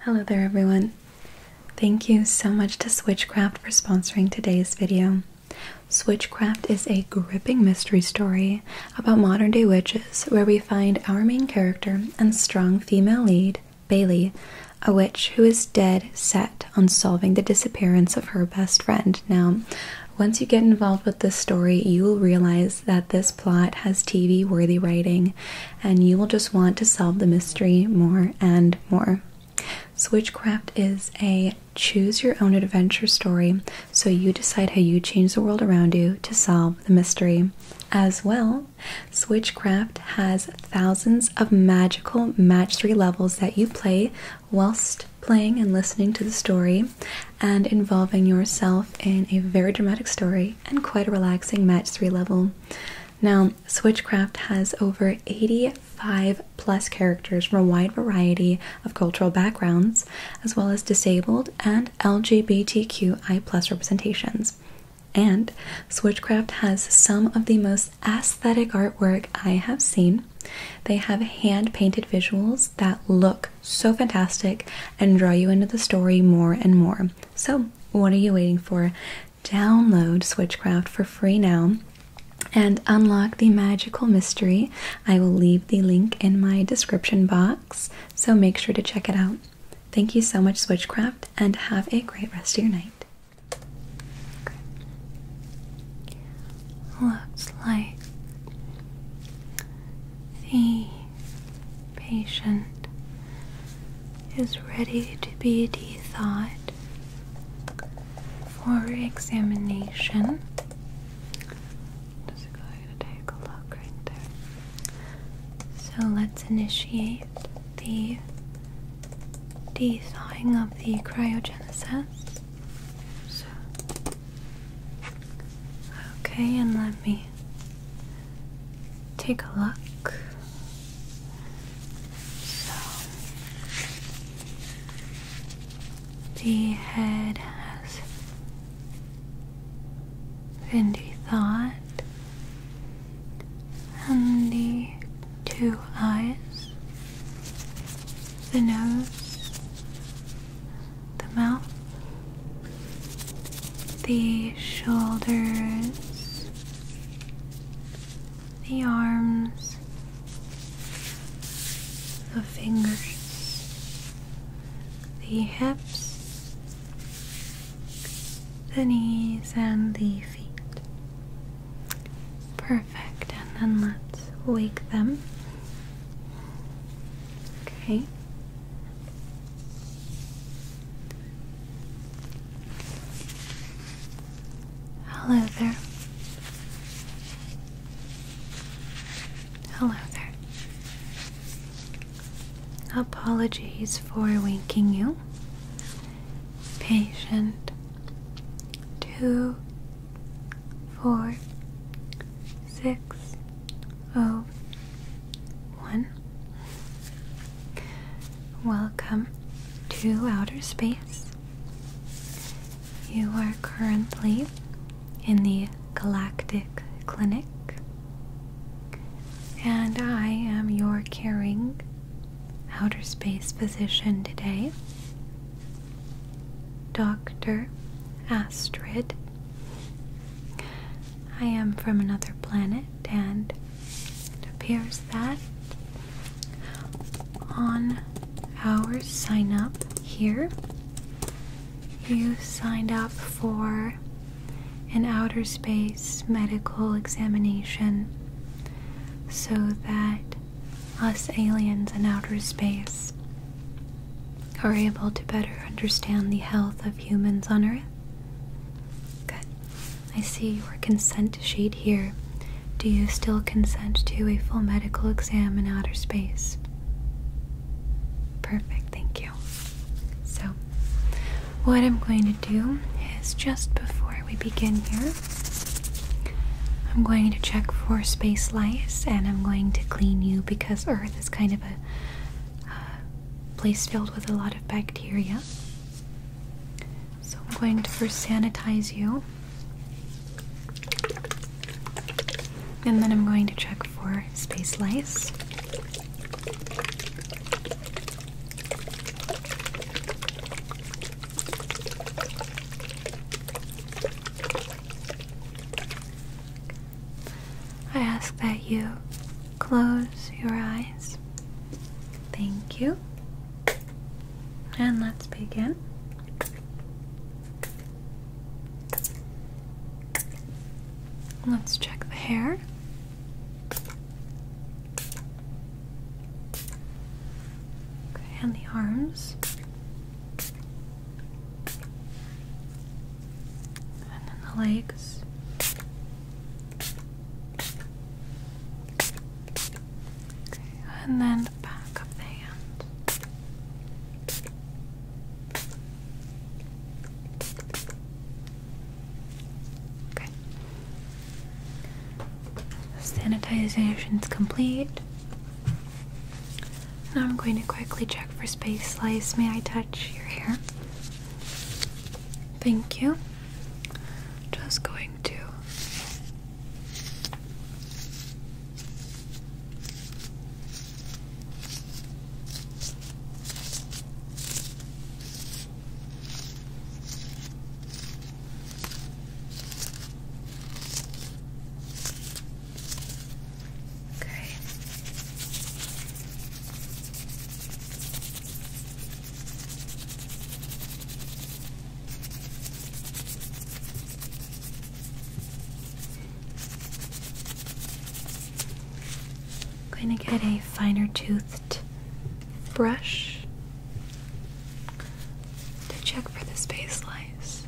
Hello there everyone. Thank you so much to Switchcraft for sponsoring today's video. Switchcraft is a gripping mystery story about modern day witches where we find our main character and strong female lead, Bailey, a witch who is dead set on solving the disappearance of her best friend. Now, once you get involved with this story, you will realize that this plot has TV worthy writing and you will just want to solve the mystery more and more. Switchcraft is a choose your own adventure story, so you decide how you change the world around you to solve the mystery. As well, Switchcraft has thousands of magical match three levels that you play whilst playing and listening to the story and involving yourself in a very dramatic story and quite a relaxing match three level. Now, Switchcraft has over 85 plus characters from a wide variety of cultural backgrounds, as well as disabled and LGBTQI plus representations. And Switchcraft has some of the most aesthetic artwork I have seen. They have hand painted visuals that look so fantastic and draw you into the story more and more. So, what are you waiting for? Download Switchcraft for free now and unlock the magical mystery. I will leave the link in my description box, so make sure to check it out. Thank you so much, Switchcraft, and have a great rest of your night. Looks like the patient is ready to be de-thawed for examination. Just going to take a look right there. So let's initiate the de-thawing of the cryogenesis. okay, and let me take a look. So, the head has been thought, and the two eyes, the nose, the mouth, the shoulders, the arms, the fingers, the hips, the knees, and the feet. Perfect, and then let's wake them. Okay, Hello there. Hello there. Apologies for waking you. Patient two four six oh one Welcome to outer space. You are currently in the Galactic Clinic, and I am your caring outer space physician today, Dr. Astrid. I am from another planet and it appears that on our sign up here, you signed up for an outer space medical examination so that us aliens in outer space are able to better understand the health of humans on Earth. Good. I see your consent sheet here. Do you still consent to a full medical exam in outer space? Perfect, thank you. So, what I'm going to do is just before we begin here, I'm going to check for space lice and I'm going to clean you because Earth is kind of a place filled with a lot of bacteria. So I'm going to first sanitize you. And then I'm going to check for space lice. I ask that you Close your eyes. Thank you. And let's begin. Let's check the hair. and the arms. And then the legs and then the back of the hand. Sanitization is complete. Now I'm going to quickly check for space slice. May I touch your hair? Thank you. Just going to Okay. I'm going to get a finer toothed brush to check for the space lice.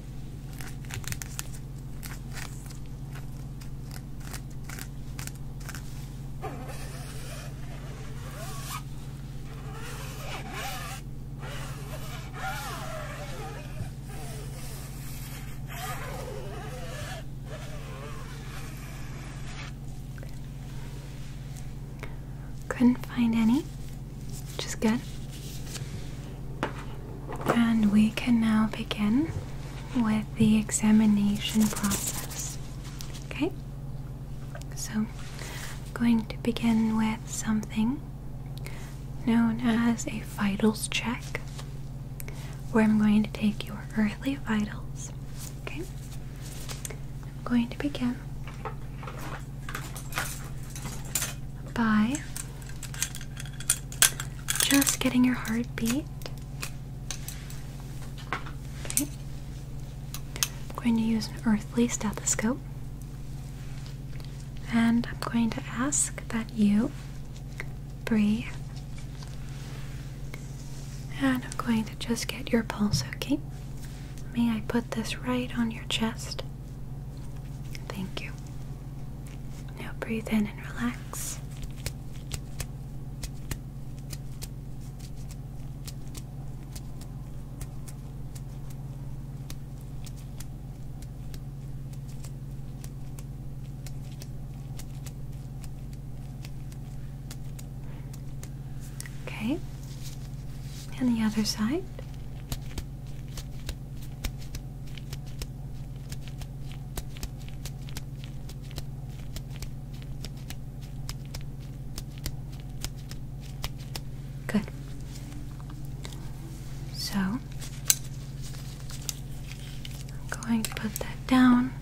Couldn't find any, which is good. And we can now begin with the examination process. Okay? So, I'm going to begin with something known as a vitals check, where I'm going to take your earthly vitals. Okay? I'm going to begin by just getting your heartbeat I'm going to use an earthly stethoscope. And I'm going to ask that you breathe. And I'm going to just get your pulse, okay? May I put this right on your chest? Thank you. Now breathe in and relax. Okay. And the other side. Good. So, I'm going to put that down.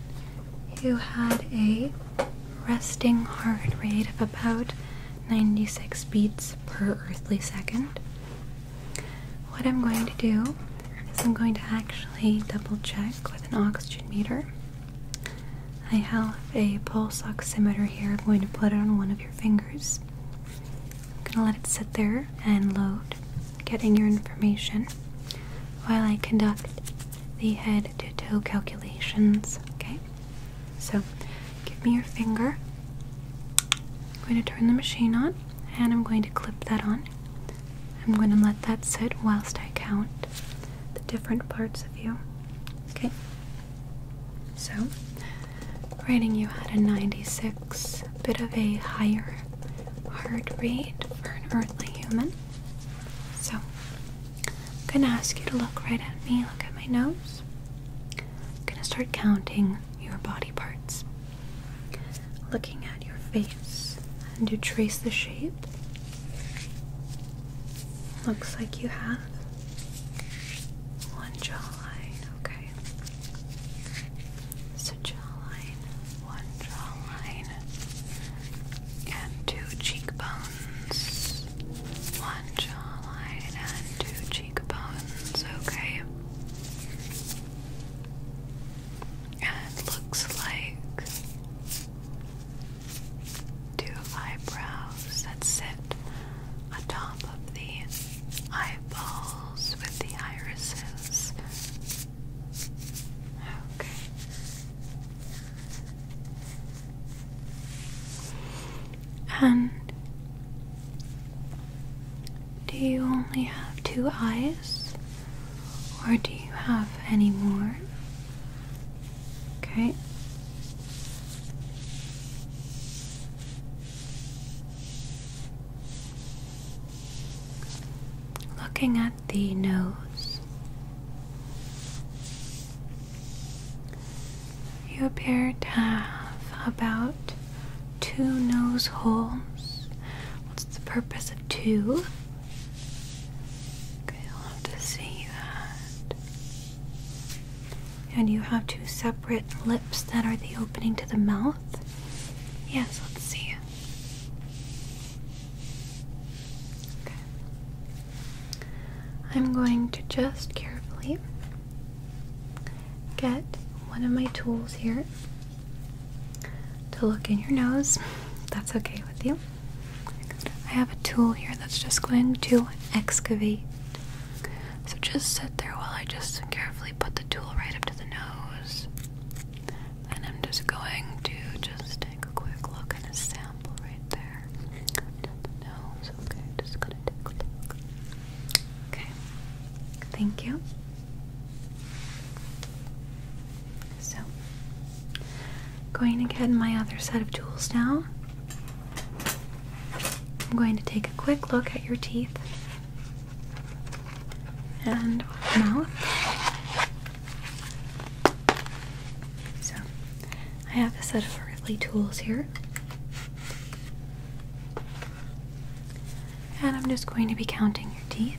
You had a resting heart rate of about 96 beats per earthly second. What I'm going to do is I'm going to actually double check with an oxygen meter I have a pulse oximeter here. I'm going to put it on one of your fingers. I'm going to let it sit there and load, getting your information while I conduct the head to toe calculations. Okay? So, give me your finger. I'm going to turn the machine on and I'm going to clip that on. I'm going to let that sit whilst I count the different parts of you. Okay? So, writing you had a 96, bit of a higher heart rate for an earthly human. So, I'm going to ask you to look right at me, look at my nose. I'm going to start counting your body parts. Looking at your face and you trace the shape. Looks like you have one jawline, okay. So jawline, one jawline, and two cheekbones. One jawline and two cheekbones, okay. And looks like two eyebrows that sit atop of the eyeballs with the irises. Okay. And do you only have two eyes? Or do you have any more? Okay. Looking at the nose, you appear to have about two nose holes. What's the purpose of two? Okay, I'll to see that. And you have two separate lips that are the opening to the mouth? Yes, let's see. Okay. I'm going to just carefully get one of my tools here to look in your nose. That's okay with you. I have a tool here that's just going to excavate. So just sit there while I just carefully put the tool right up to the nose. And I'm just going to just take a quick look and a sample right there. The nose, okay, just gonna take a look. Okay, thank you. So, going to get my other set of tools now. I'm going to take a quick look at your teeth and mouth. So, I have a set of earthly tools here. And I'm just going to be counting your teeth.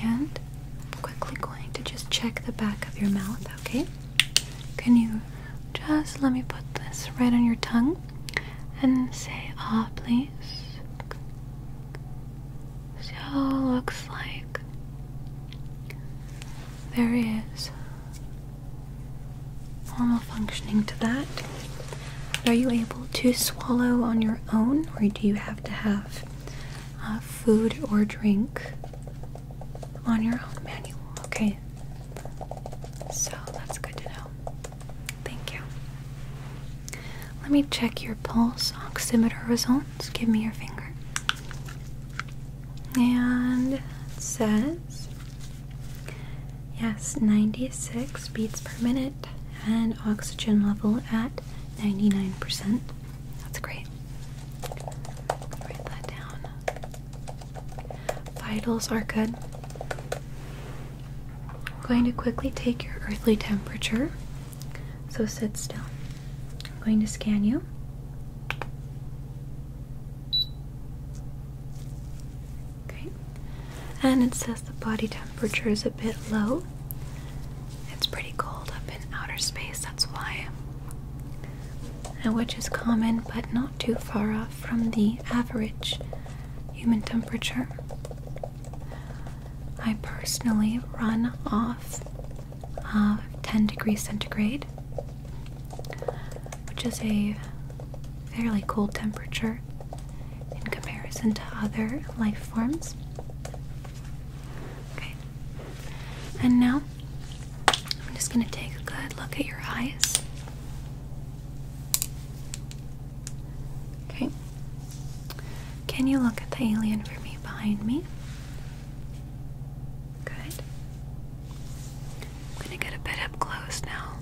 And I'm quickly going to just check the back of your mouth, okay? Can you just let me put this right on your tongue and say ah, please? So looks like there is normal functioning to that. Are you able to swallow on your own, or do you have to have uh, food or drink on your own manual. Okay, so that's good to know. Thank you. Let me check your pulse oximeter results. Give me your finger. And it says, yes, 96 beats per minute and oxygen level at 99%. That's great. Write that down. Vitals are good. I'm going to quickly take your earthly temperature. So sit still. I'm going to scan you. Okay. And it says the body temperature is a bit low. It's pretty cold up in outer space, that's why. And which is common but not too far off from the average human temperature. I personally run off of 10 degrees centigrade, which is a fairly cold temperature in comparison to other life forms. Okay. And now I'm just going to take a good look at your eyes. Okay. Can you look at the alien for me behind me? Good. I'm going to get a bit up close now.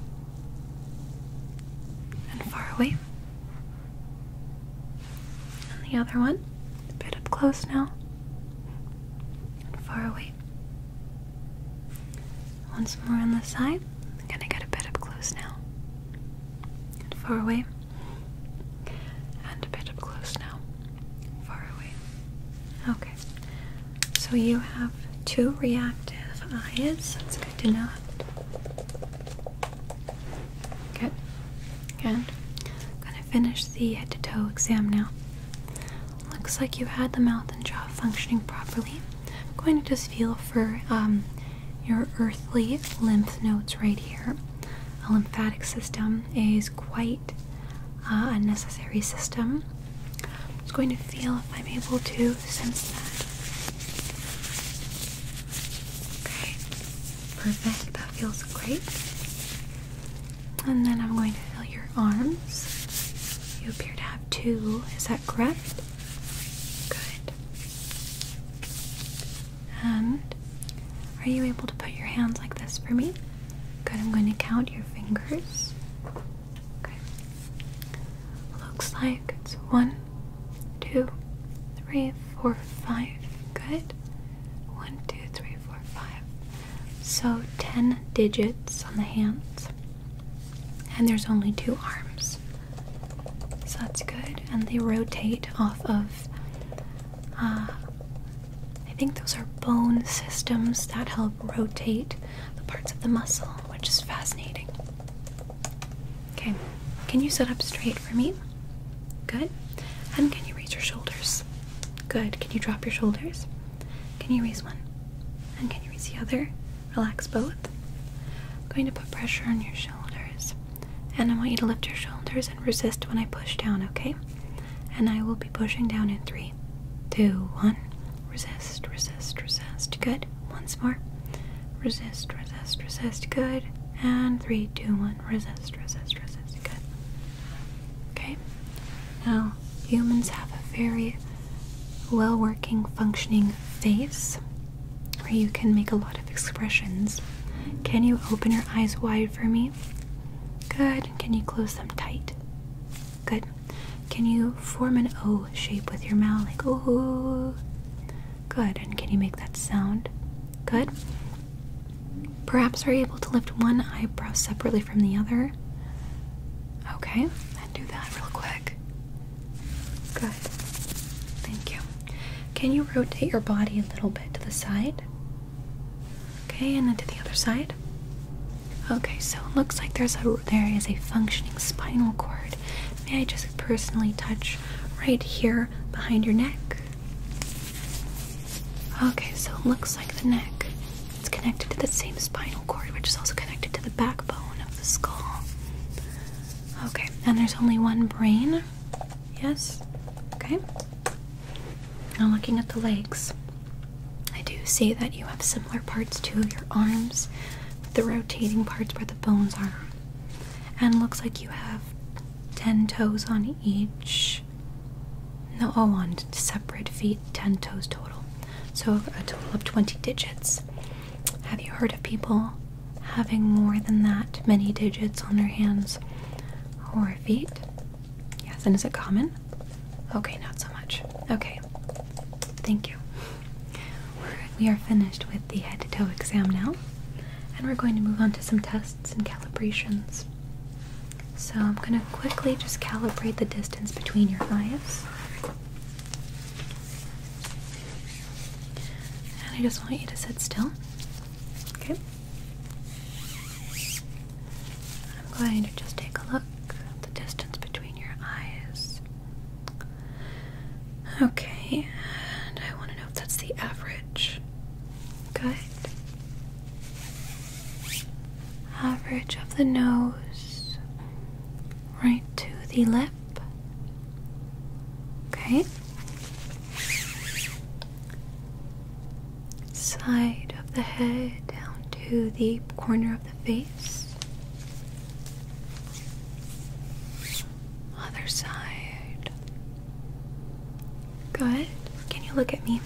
And far away. And the other one, a bit up close now, and far away. Once more on the side, i gonna get a bit up close now, and far away, and a bit up close now, far away. Okay, so you have two reactive eyes, that's good to know. Good. Good. Gonna finish the head to toe exam now. Looks like you had the mouth and jaw functioning properly. I'm going to just feel for um, your earthly lymph nodes right here. A lymphatic system is quite uh, a necessary system. I'm just going to feel if I'm able to sense that. Okay. Perfect, that feels great. And then I'm going to feel your arms. You appear to have two, is that correct? Good. And are you able to put your hands like this for me? Good, I'm going to count your fingers. Okay. Looks like it's one, two, three, four, five. Good. One, two, three, four, five. So ten digits on the hands. And there's only two arms. So that's good. And they rotate off of, uh, I think those are bone systems that help rotate the parts of the muscle, which is fascinating. Okay. Can you sit up straight for me? Good. And can you raise your shoulders? Good. Can you drop your shoulders? Can you raise one? And can you raise the other? Relax both. I'm going to put pressure on your shoulders. And I want you to lift your shoulders and resist when I push down, okay? And I will be pushing down in three, two, one. Resist, resist, resist. Good. Once more. Resist, resist, resist, good. And three, two, one, resist, resist, resist, good. Okay? Now, humans have a very well working, functioning face where you can make a lot of expressions. Can you open your eyes wide for me? Good. Can you close them tight? Good. Can you form an O shape with your mouth? Like, ooh. Good. And can you make that sound? Good. Perhaps are able to lift one eyebrow separately from the other? Okay, and do that real quick. Good. Thank you. Can you rotate your body a little bit to the side? Okay, and then to the other side. Okay, so it looks like there's a there is a functioning spinal cord. May I just personally touch right here behind your neck? Okay, so it looks like the neck. It's connected to the same spinal cord, which is also connected to the backbone of the skull. Okay, and there's only one brain. Yes? Okay. Now, looking at the legs, I do see that you have similar parts to your arms, the rotating parts where the bones are. And looks like you have 10 toes on each. No, all oh, on separate feet, 10 toes total. So a total of 20 digits. Have you heard of people having more than that many digits on their hands or feet? Yes, and is it common? Okay, not so much. Okay, thank you. we are finished with the head to toe exam now and we're going to move on to some tests and calibrations. So I'm going to quickly just calibrate the distance between your eyes. And I just want you to sit still. Okay. I'm going to just take a look at the distance between your eyes. Okay, and I want to know if that's the average. Good. Average of the nose, right to the lip. Okay. Side of the head down to the corner of the face. Other side. Good. Can you look at me?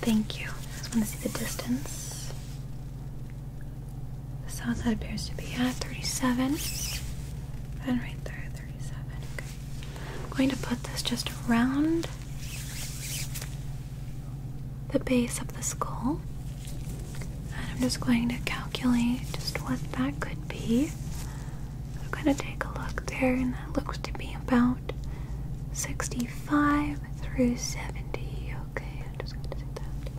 Thank you. I just want to see the distance. The south side appears to be at uh, 37. And right there, 37. Okay. I'm going to put this just around the base of the skull. And I'm just going to calculate just what that could be. I'm gonna take a look there, and that looks to be about 65 through 70. Okay, I'm just gonna take that.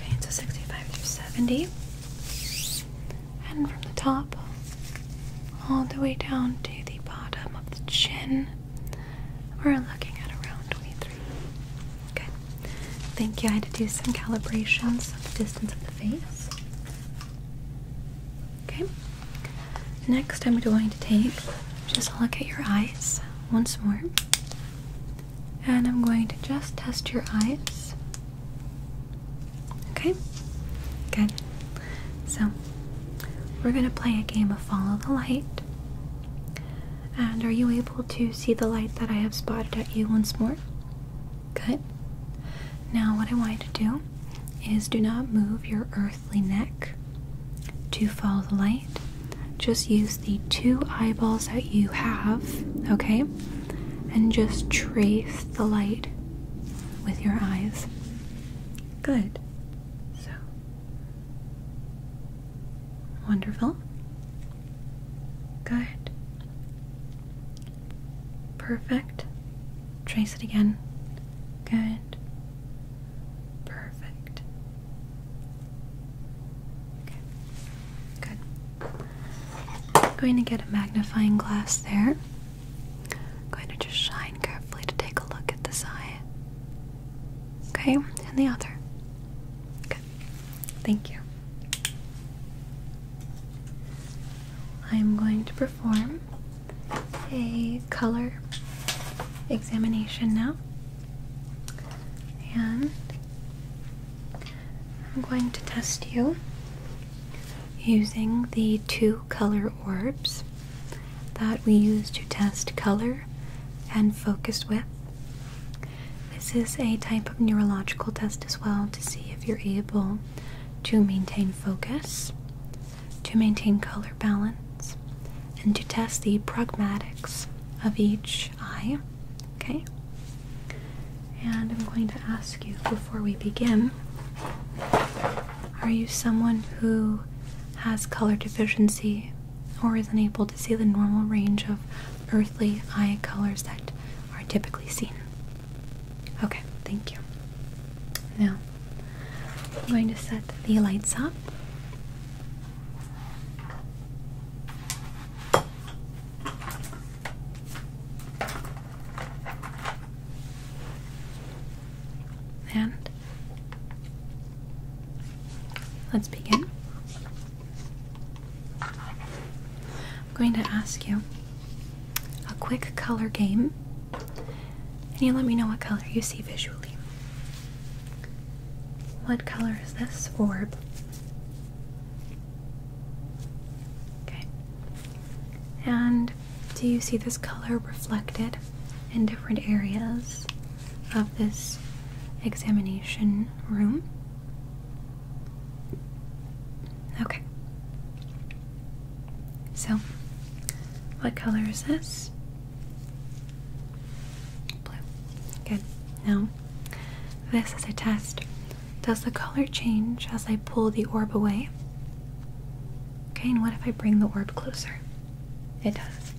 Okay, so 65 through 70. And from the top all the way down to the bottom of the chin, we're looking at around 23. Good. Thank you. I had to do some calibrations of the distance of the face. Okay. Next, I'm going to take just a look at your eyes once more. And I'm going to just test your eyes. Okay? Good. So, we're going to play a game of follow the light. And are you able to see the light that I have spotted at you once more? Good. Now, what I want you to do is do not move your earthly neck to follow the light. Just use the two eyeballs that you have, okay? And just trace the light with your eyes. Good. So, wonderful. Good. Perfect. Trace it again. Good. Perfect. Okay. Good. I'm going to get a magnifying glass there. I'm going to just shine carefully to take a look at this eye. Okay, and the other. Thank you. I'm going to perform a color examination now. And I'm going to test you using the two color orbs that we use to test color and focus with this is a type of neurological test as well to see if you're able to maintain focus, to maintain color balance, and to test the pragmatics of each eye. Okay? And I'm going to ask you before we begin are you someone who has color deficiency or is unable to see the normal range of earthly eye colors that are typically seen? Okay, thank you. Now, I'm going to set the lights up. And let's begin. I'm going to ask you a quick color game, and you let me know what color you see visually. What color is this orb? Okay. And do you see this color reflected in different areas of this examination room? Okay. So, what color is this? Blue. Good. Now, this is a test. Does the color change as I pull the orb away? Okay, and what if I bring the orb closer? It does.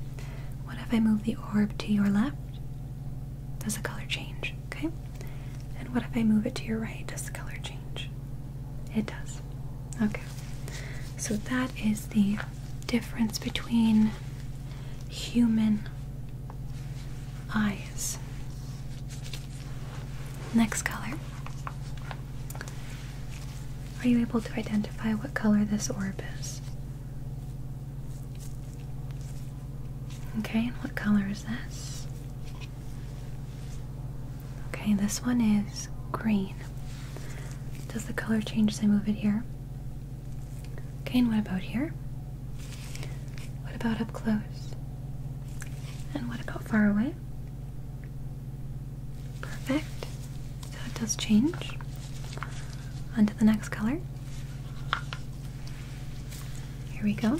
What if I move the orb to your left? Does the color change? Okay. And what if I move it to your right? Does the color change? It does. Okay. So that is the difference between human eyes. Next color. Are you able to identify what color this orb is? Okay, and what color is this? Okay, this one is green. Does the color change as I move it here? Okay, and what about here? What about up close? And what about far away? Perfect. So it does change. Onto the next color. Here we go.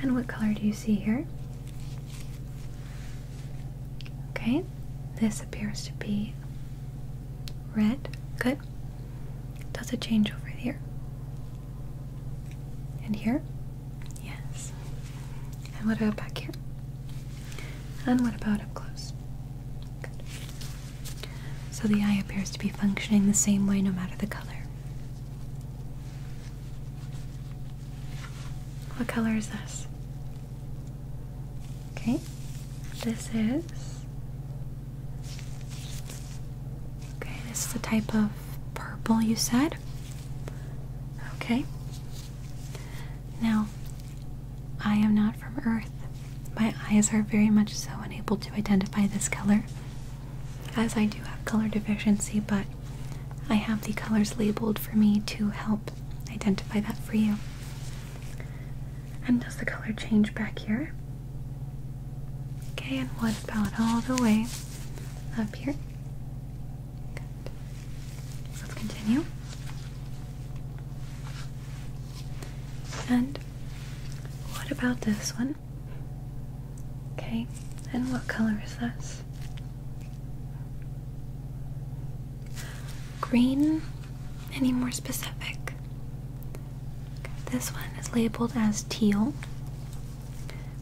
And what color do you see here? Okay, this appears to be red. Good. Does it change over here? And here? Yes. And what about back here? And what about up close? Good. So the eye appears to be functioning the same way no matter the color. What color is this? Okay, this is. Okay, this is the type of purple you said. Okay. Now, I am not from Earth. My eyes are very much so unable to identify this color as I do have color deficiency, but I have the colors labeled for me to help identify that for you. And does the color change back here? Okay, and what about all the way up here? Let's continue. And what about this one? Okay, and what color is this? Green? Any more specific? this one is labeled as teal,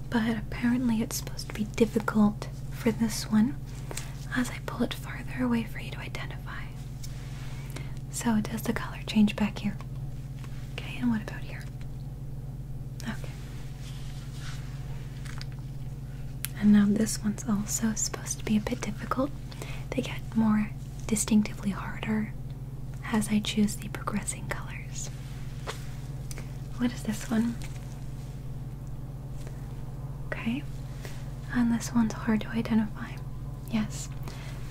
but apparently it's supposed to be difficult for this one as I pull it farther away for you to identify. So, does the color change back here? Okay, and what about here? Okay. And now this one's also supposed to be a bit difficult. They get more distinctively harder as I choose the progressing colors. What is this one? Okay. And this one's hard to identify. Yes,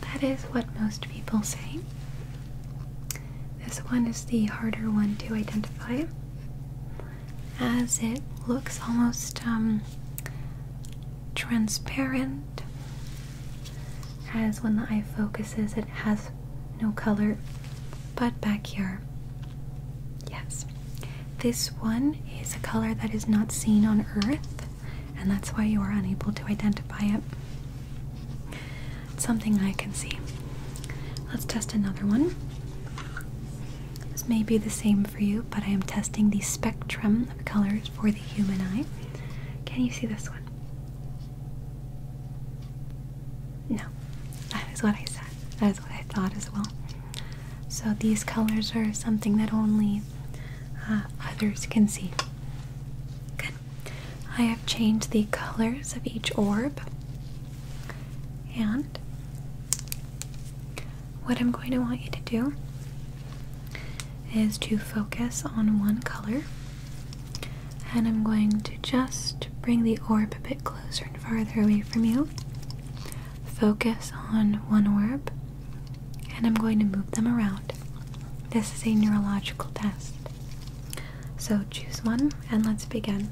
that is what most people say. This one is the harder one to identify as it looks almost um, transparent, as when the eye focuses, it has no color. But back here, yes, this one is a color that is not seen on Earth, and that's why you are unable to identify it. It's something I can see. Let's test another one. This may be the same for you, but I am testing the spectrum of colors for the human eye. Can you see this one? No, that is what I said. That is what I thought as well. So these colors are something that only uh, others can see. Good. I have changed the colors of each orb. And what I'm going to want you to do is to focus on one color. And I'm going to just bring the orb a bit closer and farther away from you. Focus on one orb, and I'm going to move them around. This is a neurological test. So choose one and let's begin.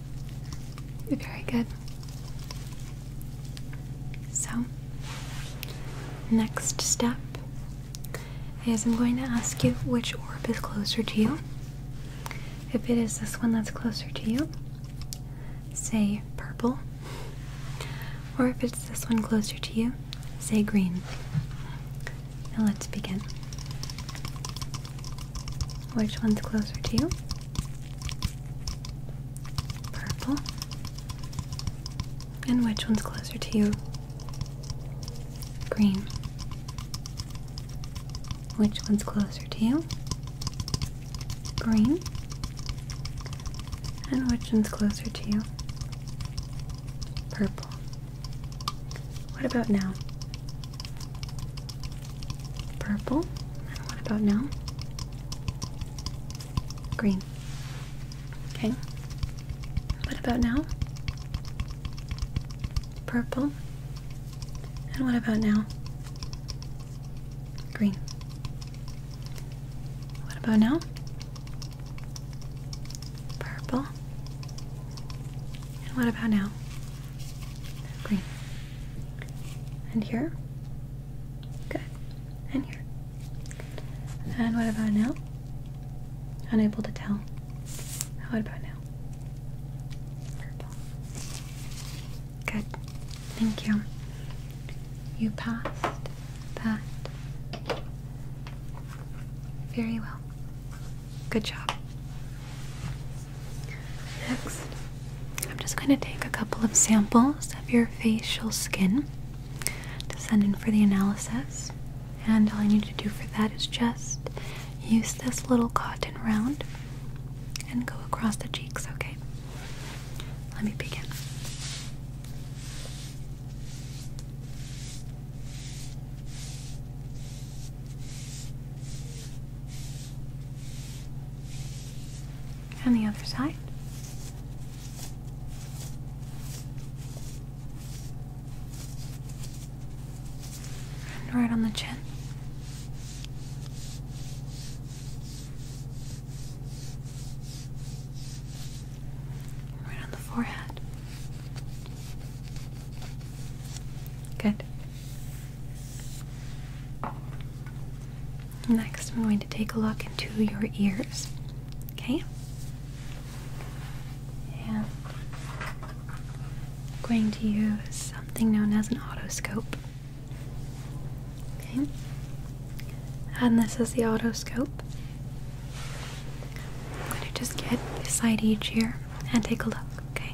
Very good. So, next step is I'm going to ask you which orb is closer to you. If it is this one that's closer to you, say purple. Or if it's this one closer to you, say green. Now let's begin. Which one's closer to you? Purple. And which one's closer to you? Green. Which one's closer to you? Green. And which one's closer to you? Purple. What about now? Purple. And what about now? Green. Okay. What about now? Purple. And what about now? Green. What about now? Purple. And what about now? Green. And here? Good. And here. And what about now? Unable to tell. How about now? Purple. Good. Thank you. You passed that very well. Good job. Next, I'm just going to take a couple of samples of your facial skin to send in for the analysis. And all I need to do for that is just use this little cotton round and go across the cheeks, okay? Let me begin. On the other side. right on the chin. Right on the forehead. Good. Next, I'm going to take a look into your ears. Okay? And going to use something known as an otoscope. Okay? And this is the otoscope. I'm going to just get beside each ear and take a look, okay?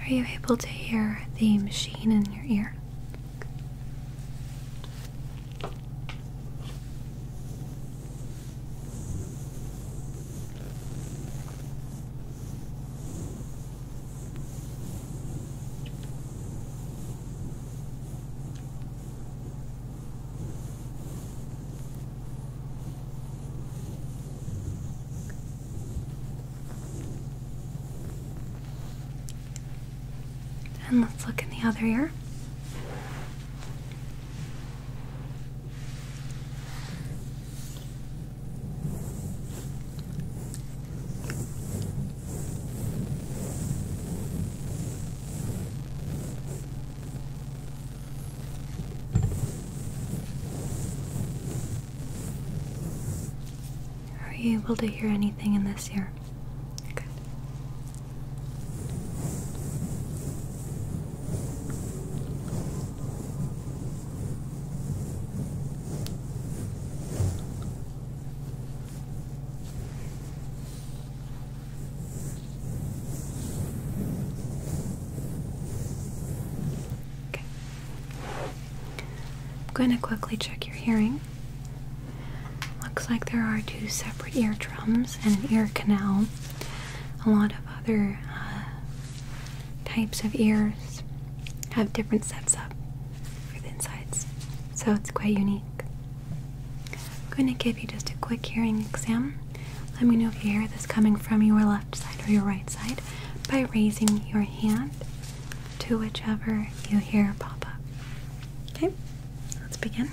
Are you able to hear the machine in your ear? And let's look in the other ear. Are you able to hear anything in this ear? Good. I'm going to quickly check your hearing. Looks like there are two separate eardrums and an ear canal. A lot of other uh, types of ears have different sets up for the insides, so it's quite unique. I'm going to give you just a quick hearing exam. Let me know if you hear this coming from your left side or your right side by raising your hand to whichever you hear pop up. Okay, let's begin.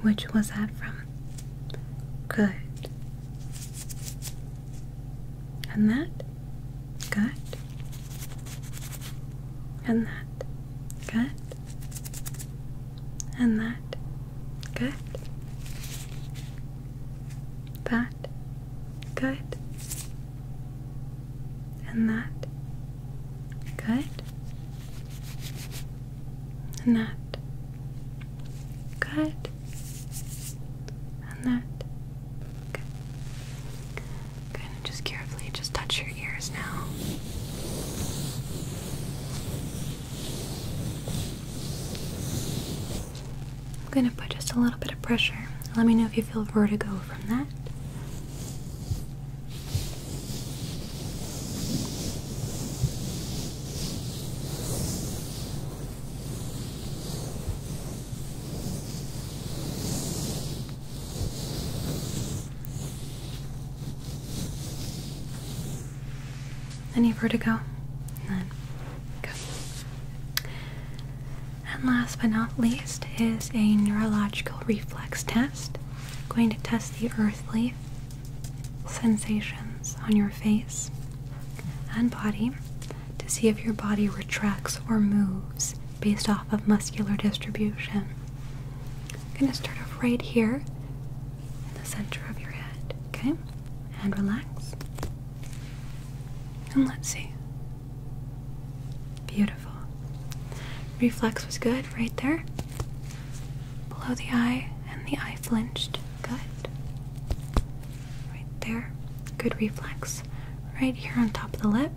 Which was that from? Good. And that? Good. And that? Good. And that? Good. That. Good. And that. Good. And that. Good. And that. Good. Good. And just carefully just touch your ears now. I'm going to put just a little bit of pressure. Let me know if you feel vertigo from that. Any vertigo? None. Good. And last but not least is a neurological reflex test. going to test the earthly sensations on your face and body to see if your body retracts or moves based off of muscular distribution. I'm going to start off right here in the center of your head, okay? And relax. And let's see. Beautiful. Reflex was good right there. Below the eye and the eye flinched. Good. Right there. Good reflex. Right here on top of the lip.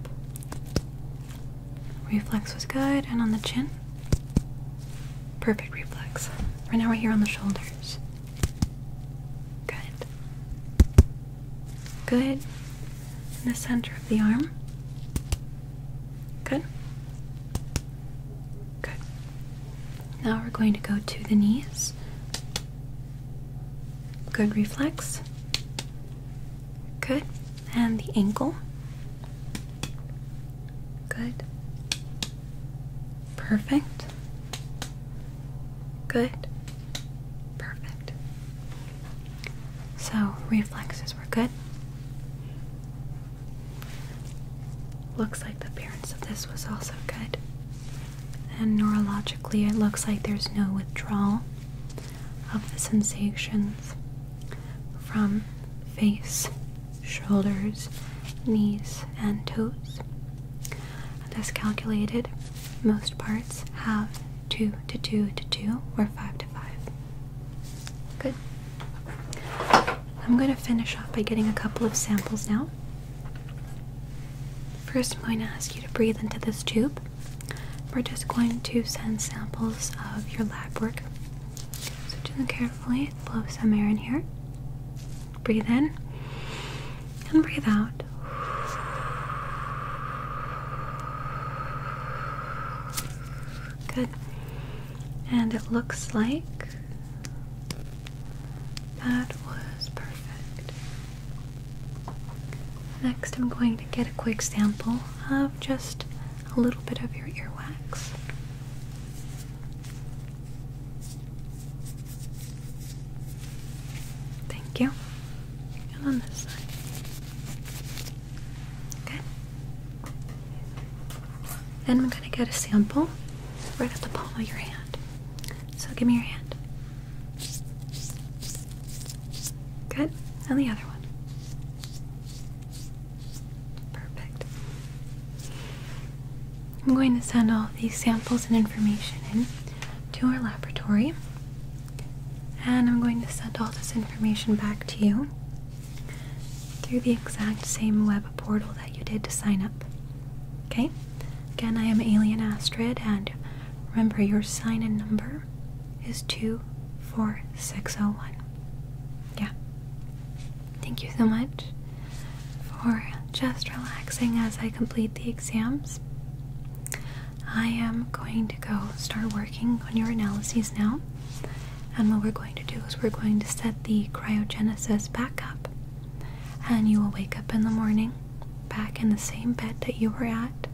Reflex was good and on the chin. Perfect reflex. Right now we're here on the shoulders. Good. Good. In the center of the arm. Good. Good. Now we're going to go to the knees. Good reflex. Good. And the ankle. Good. Perfect. Good. Perfect. So, reflexes were good. Looks like the appearance of this was also good. And neurologically, it looks like there's no withdrawal of the sensations from face shoulders, knees, and toes. As calculated, most parts have 2 to 2 to 2 or 5 to 5. Good. I'm going to finish off by getting a couple of samples now. First, I'm going to ask you to breathe into this tube. We're just going to send samples of your lab work so do it carefully. Blow some air in here. Breathe in and breathe out. Good. And it looks like that was perfect. Next, I'm going to get a quick sample of just a little bit of your earwax. Thank you. And on this side. Okay. Then I'm going to get a sample right at the palm of your hand. So give me your hand. Good. And the other one. Perfect. I'm going to send all these samples and information in to our laboratory, and I'm going to send all this information back to you through the exact same web portal that you did to sign up. Okay? Again, I am Alien Astrid, and remember your sign in number is 24601. Yeah. Thank you so much for just relaxing as I complete the exams. I am going to go start working on your analyses now. And what we're going to do is we're going to set the cryogenesis back up. And you will wake up in the morning back in the same bed that you were at.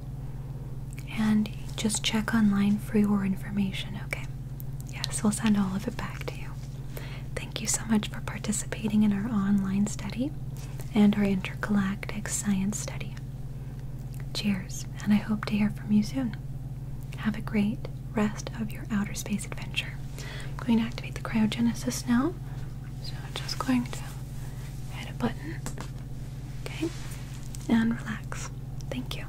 And just check online for your information, okay? Yes, we'll send all of it back to you. Thank you so much for participating in our online study and our intergalactic science study. Cheers, and I hope to hear from you soon. Have a great rest of your outer space adventure. I'm going to activate the cryogenesis now. So I'm just going to hit a button. Okay? And relax. Thank you.